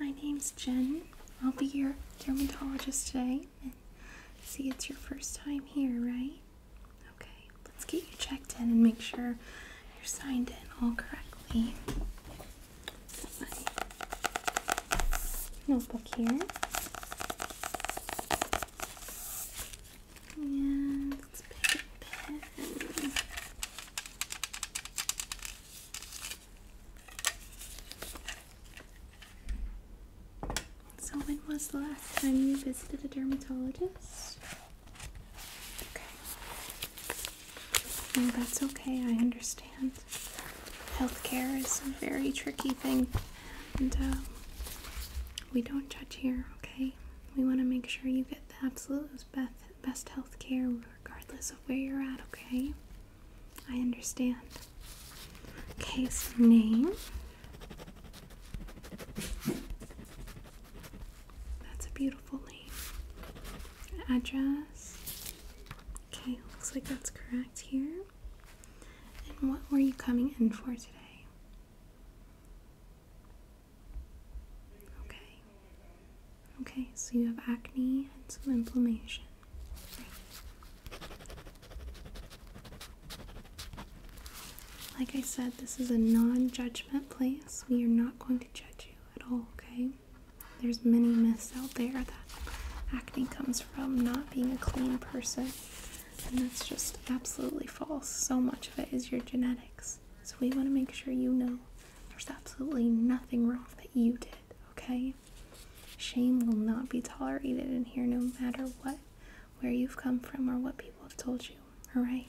my name's Jen. I'll be your dermatologist today. And see, it's your first time here, right? Okay, let's get you checked in and make sure you're signed in all correctly. notebook here. And so, when was the last time you visited a dermatologist? Okay. that's okay, I understand. Healthcare is a very tricky thing, and uh, we don't judge here, okay? We want to make sure you get the absolute best, best health care regardless of where you're at, okay? I understand. Case name. That's a beautiful name. Address. Okay, looks like that's correct here. And what were you coming in for today? Okay. Okay, so you have acne and some inflammation. Like I said, this is a non judgment place. We are not going to judge you at all, okay? There's many myths out there that acne comes from not being a clean person, and that's just absolutely false. So much of it is your genetics. So we want to make sure you know there's absolutely nothing wrong that you did, okay? Shame will not be tolerated in here no matter what, where you've come from, or what people have told you, alright?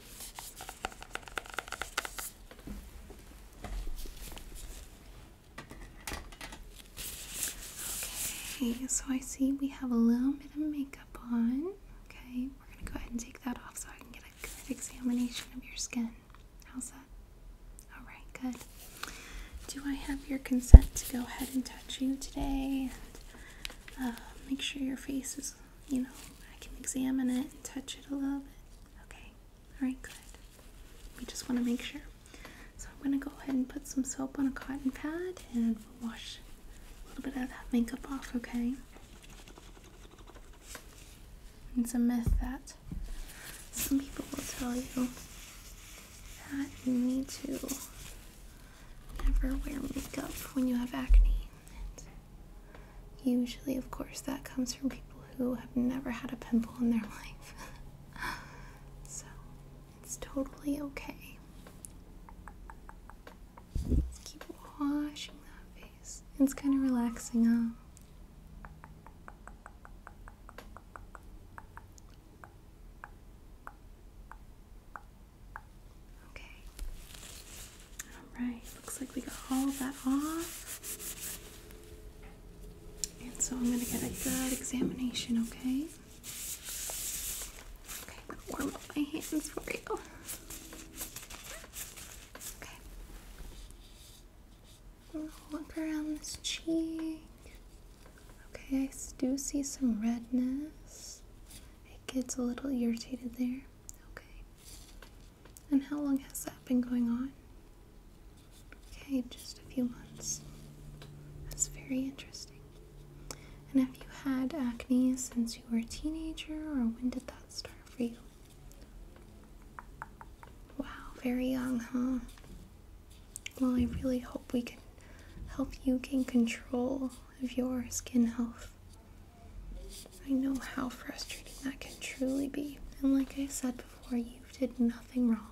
Okay, so I see we have a little bit of makeup on. Okay, we're gonna go ahead and take that off so I can get good examination of your skin. How's that? Alright, good. Do I have your consent to go ahead and touch you today? And, um, make sure your face is, you know, I can examine it and touch it a little bit. Okay, alright, good. We just want to make sure. So I'm going to go ahead and put some soap on a cotton pad and wash a little bit of that makeup off, okay? It's a myth that some people will tell you that you need to never wear makeup when you have acne. usually, of course, that comes from people who have never had a pimple in their life. so it's totally okay. Let's keep washing that it's kind of relaxing, huh? Okay. Alright, looks like we got all of that off. And so I'm going to get a good examination, okay? Okay, I'm warm up my hands for you. Okay. gonna look around this cheek. Okay, I do see some redness. It gets a little irritated there. Okay. And how long has that been going on? Okay, just a few months. That's very interesting. And have you had acne since you were a teenager, or when did that? star for you. Wow, very young, huh? Well, I really hope we can help you gain control of your skin health. I know how frustrating that can truly be, and like I said before, you did nothing wrong.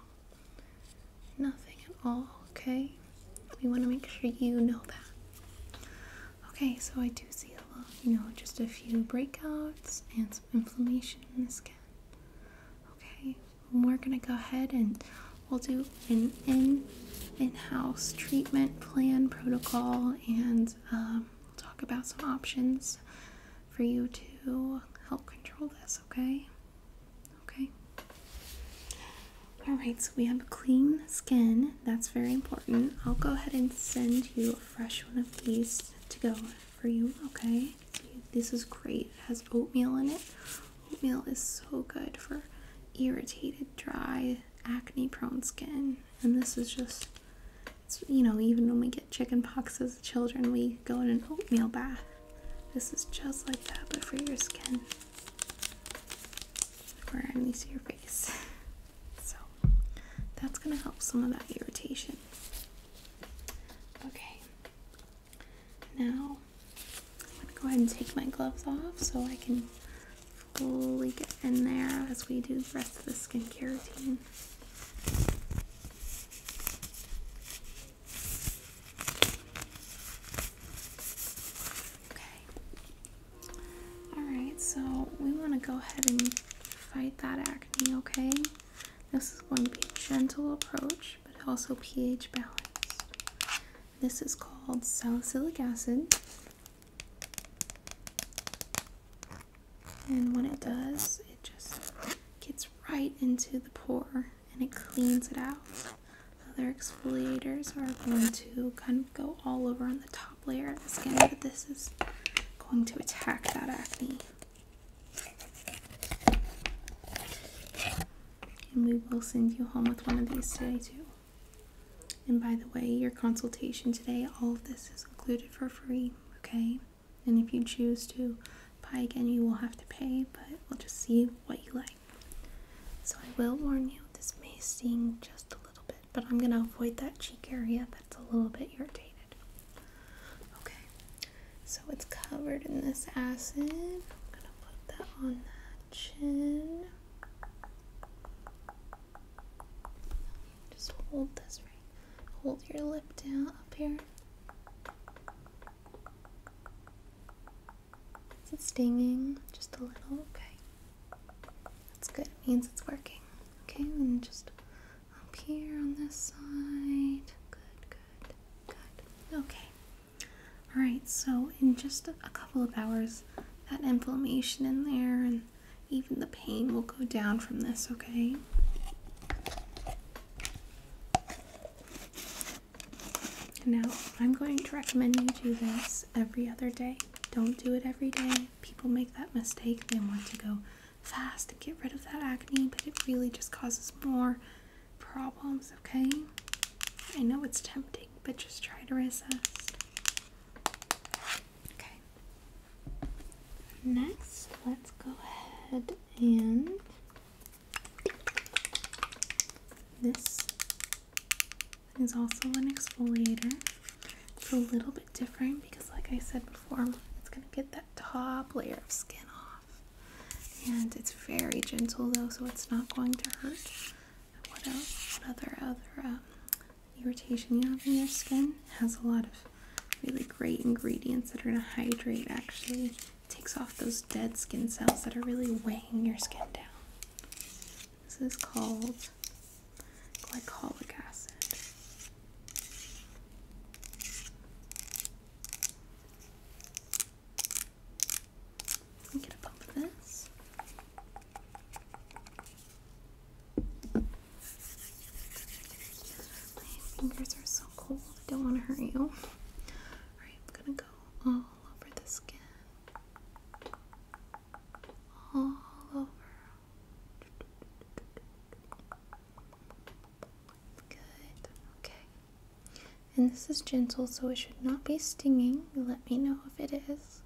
Nothing at all, okay? We want to make sure you know that. Okay, so I do see a lot, you know, just a few breakouts and some inflammation in the skin. Okay, we're gonna go ahead and we'll do an in in-house treatment plan protocol and um, talk about some options for you to help control this, okay? Okay. All right, so we have clean skin. That's very important. I'll go ahead and send you a fresh one of these to go for you, okay? this is great. It has oatmeal in it. Oatmeal is so good for irritated, dry, acne prone skin. And this is just, you know, even when we get chicken pox as children, we go in an oatmeal bath. This is just like that, but for your skin where I'm used your face. So that's gonna help some of that irritation. Okay. Now I'm gonna go ahead and take my gloves off so I can fully get in there as we do the rest of the skincare routine. Okay. Alright, so we want to go ahead and fight that acne, okay? This is going to be a gentle approach, but also pH balanced. This is called salicylic acid. And when it does, it just gets right into the pore and it cleans it out. Other exfoliators are going to kind of go all over on the top layer of the skin, but this is going to attack that acne. And we will send you home with one of these today, too. And by the way, your consultation today, all of this is included for free, okay? And if you choose to buy again, you will have to pay, but we'll just see what you like. So I will warn you, this may sting just a little bit, but I'm going to avoid that cheek area that's a little bit irritated. Okay, so it's covered in this acid. I'm going to put that on that chin. Just hold this right. Hold your lip down up here. Is it stinging? Just a little? Okay. That's good. It means it's working. Okay, and just up here on this side. Good, good, good. Okay. Alright, so in just a couple of hours, that inflammation in there and even the pain will go down from this, okay? Now, I'm going to recommend you do this every other day. Don't do it every day. People make that mistake. They want to go fast and get rid of that acne, but it really just causes more problems, okay? I know it's tempting, but just try to resist. Okay. Next, let's go ahead and this it is also an exfoliator. It's a little bit different because, like I said before, it's going to get that top layer of skin off. And it's very gentle though, so it's not going to hurt. What other other um, irritation you have in your skin has a lot of really great ingredients that are going to hydrate. Actually, takes off those dead skin cells that are really weighing your skin down. This is called glycolic acid. I'm gonna this. My fingers are so cold, don't want to hurt you. Alright, I'm gonna go all over the skin all over. Good. Okay. And this is gentle, so it should not be stinging. Let me know if it is.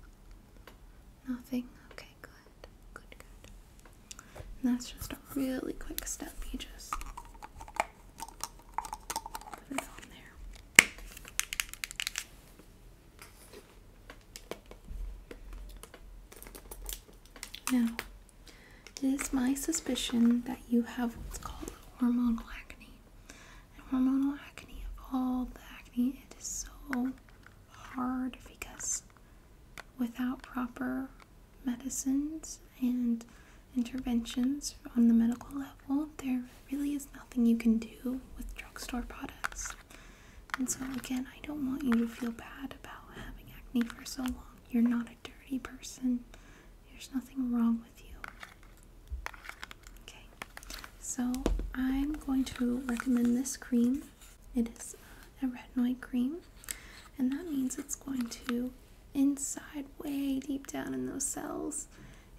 Nothing. Okay, good. Good, good. And that's just a really quick step. You just put it on there. Now, it is my suspicion that you have what's called hormonal acne. And hormonal acne, of all the acne, it is so hard because without proper medicines and interventions on the medical level, there really is nothing you can do with drugstore products. And so, again, I don't want you to feel bad about having acne for so long. You're not a dirty person, there's nothing wrong with you. Okay, so I'm going to recommend this cream. It is a retinoid cream, and that means it's going to inside, way deep down in those cells,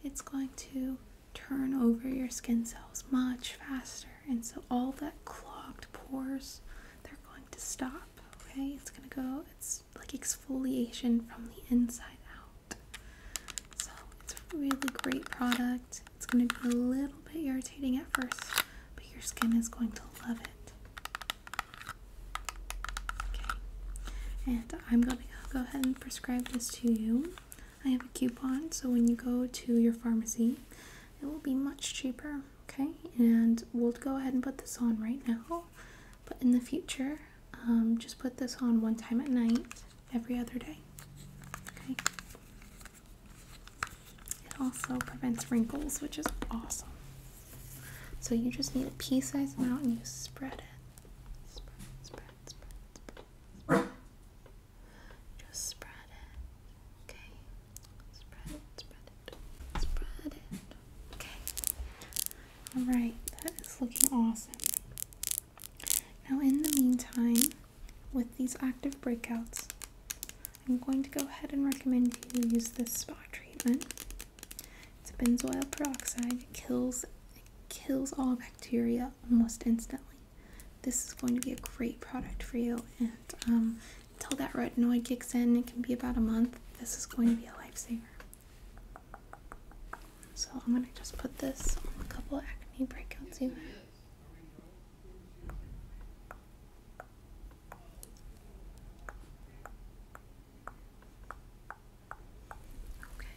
it's going to turn over your skin cells much faster. And so all that clogged pores, they're going to stop. Okay, it's going to go, it's like exfoliation from the inside out. So it's a really great product. It's going to be a little bit irritating at first, but your skin is going to love it. Okay, and I'm going to go ahead and prescribe this to you. I have a coupon, so when you go to your pharmacy, it will be much cheaper. Okay, and we'll go ahead and put this on right now. But in the future, um, just put this on one time at night, every other day. Okay. It also prevents wrinkles, which is awesome. So you just need a pea-sized amount and you spread it. Just spread it. Okay. Spread it, spread it, spread it. Okay. Alright, that is looking awesome. Now in the meantime, with these active breakouts, I'm going to go ahead and recommend you use this spa treatment. It's benzoyl peroxide. It kills it kills all bacteria almost instantly. This is going to be a great product for you. And um, until that retinoid kicks in, it can be about a month. This is going to be a lifesaver. So I'm gonna just put this on a couple acne breakouts you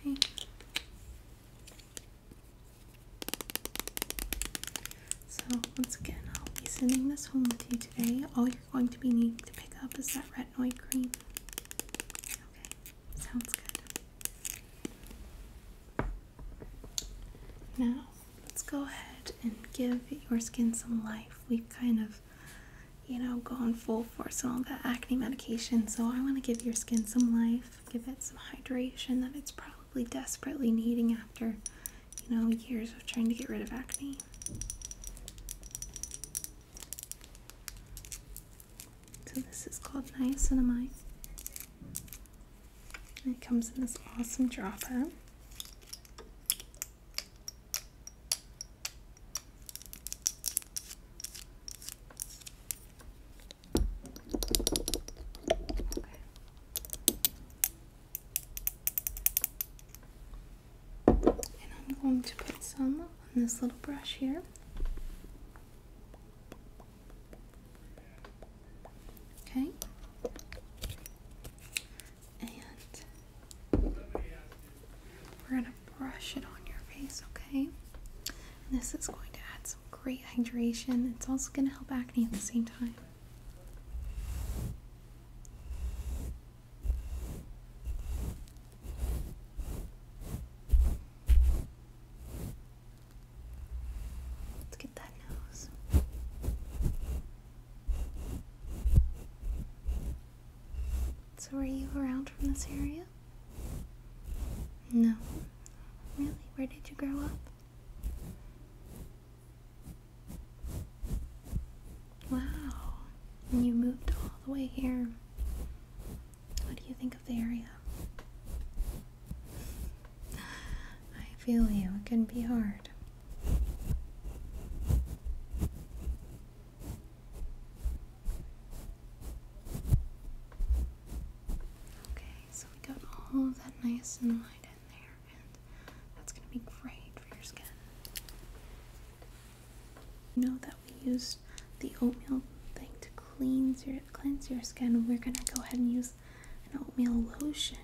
Okay. So once again, I'll be sending this home with you today. All you're going to be needing to pick up is that retinoid cream. Okay, sounds good. Now let's go ahead and give your skin some life. we kind of you know, go in full force on all that acne medication. So I want to give your skin some life, give it some hydration that it's probably desperately needing after, you know, years of trying to get rid of acne. So this is called niacinamide. And it comes in this awesome dropper. And I'm going to put some on this little brush here. Okay and we're gonna brush it on your face, okay? this is going to add some great hydration. It's also gonna help acne at the same time. Let's get that nose. So, are you around from this area? No. Really? Where did you grow up? Wow. And you moved all the way here. What do you think of the area? I feel you. It can be hard. Okay, so we got all of that niacinamide in there, and that's going to be great for your skin. You know that we used the oatmeal thing to cleanse your cleanse your skin. We're going to go ahead and use an oatmeal lotion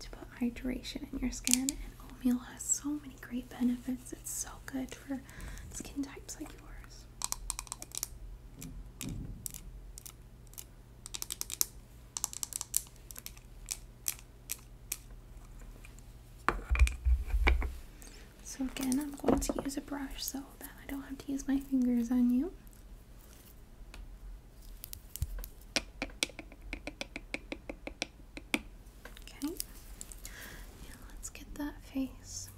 to put hydration in your skin. And oatmeal has so many great benefits. It's so good for skin types like yours. So again, I'm going to use a brush so that I don't have to use my fingers on you. Okay. let's get that face.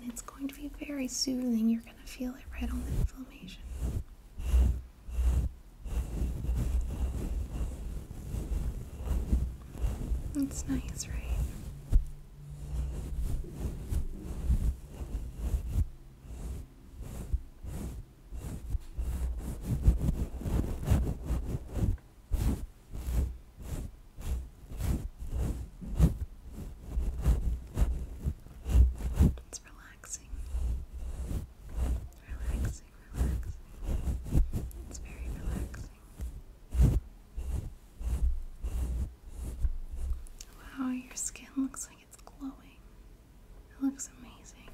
And it's going to be very soothing. You're going to feel it right on the inflammation. That's nice, right? It's relaxing. Relaxing, relaxing. It's very relaxing. Wow, your skin looks like it's glowing. It looks amazing.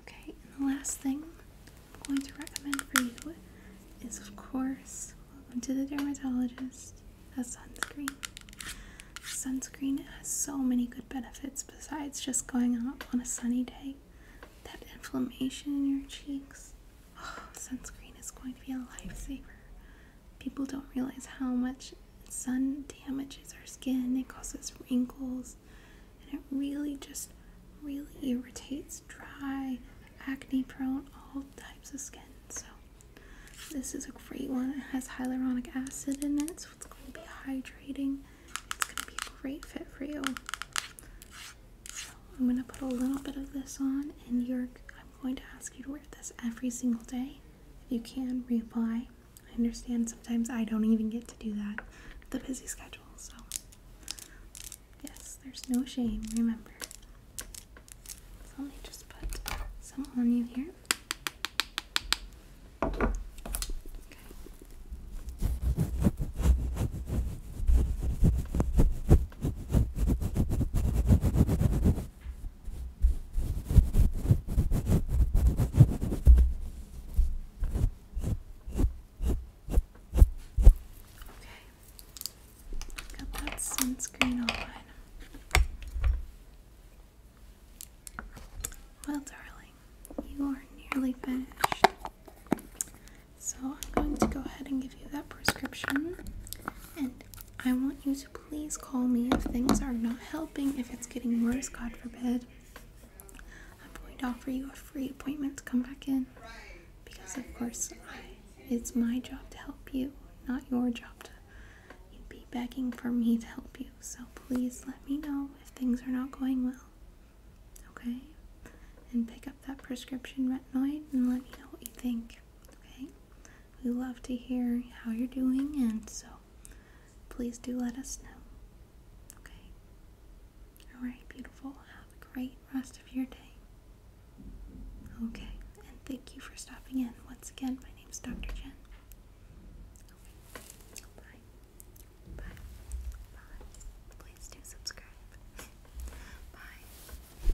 Okay, and the last thing I'm going to recommend for you is, of course, welcome to the dermatologist, a sunscreen. Sunscreen has so many good benefits besides just going out on a sunny day. That inflammation in your cheeks. Oh, sunscreen is going to be a lifesaver. People don't realize how much sun damages our skin, it causes wrinkles, and it really just really irritates dry, acne prone, all types of skin. So, this is a great one. It has hyaluronic acid in it, so it's going to be hydrating. It's going to be a great fit for you. I'm going to put a little bit of this on, and you're I'm going to ask you to wear this every single day. If you can, reapply. I understand sometimes I don't even get to do that the busy schedule, so yes, there's no shame, remember. So let me just put some on you here. Okay, got that sunscreen on. Well, darling, you are nearly finished. So I'm going to go ahead and give you that prescription, and I want you please call me if things are not helping, if it's getting worse, God forbid. I'm going to offer you a free appointment to come back in because, of course, it's my job to help you, not your job to be begging for me to help you. So please let me know if things are not going well, okay? And pick up that prescription retinoid and let me know what you think, okay? We love to hear how you're doing, and so please do let us know. Okay? Alright, beautiful. Have a great rest of your day. Okay, and thank you for stopping in. Once again, my name is Dr. Jen. Okay. Bye. Bye. Bye. Please do subscribe. Bye.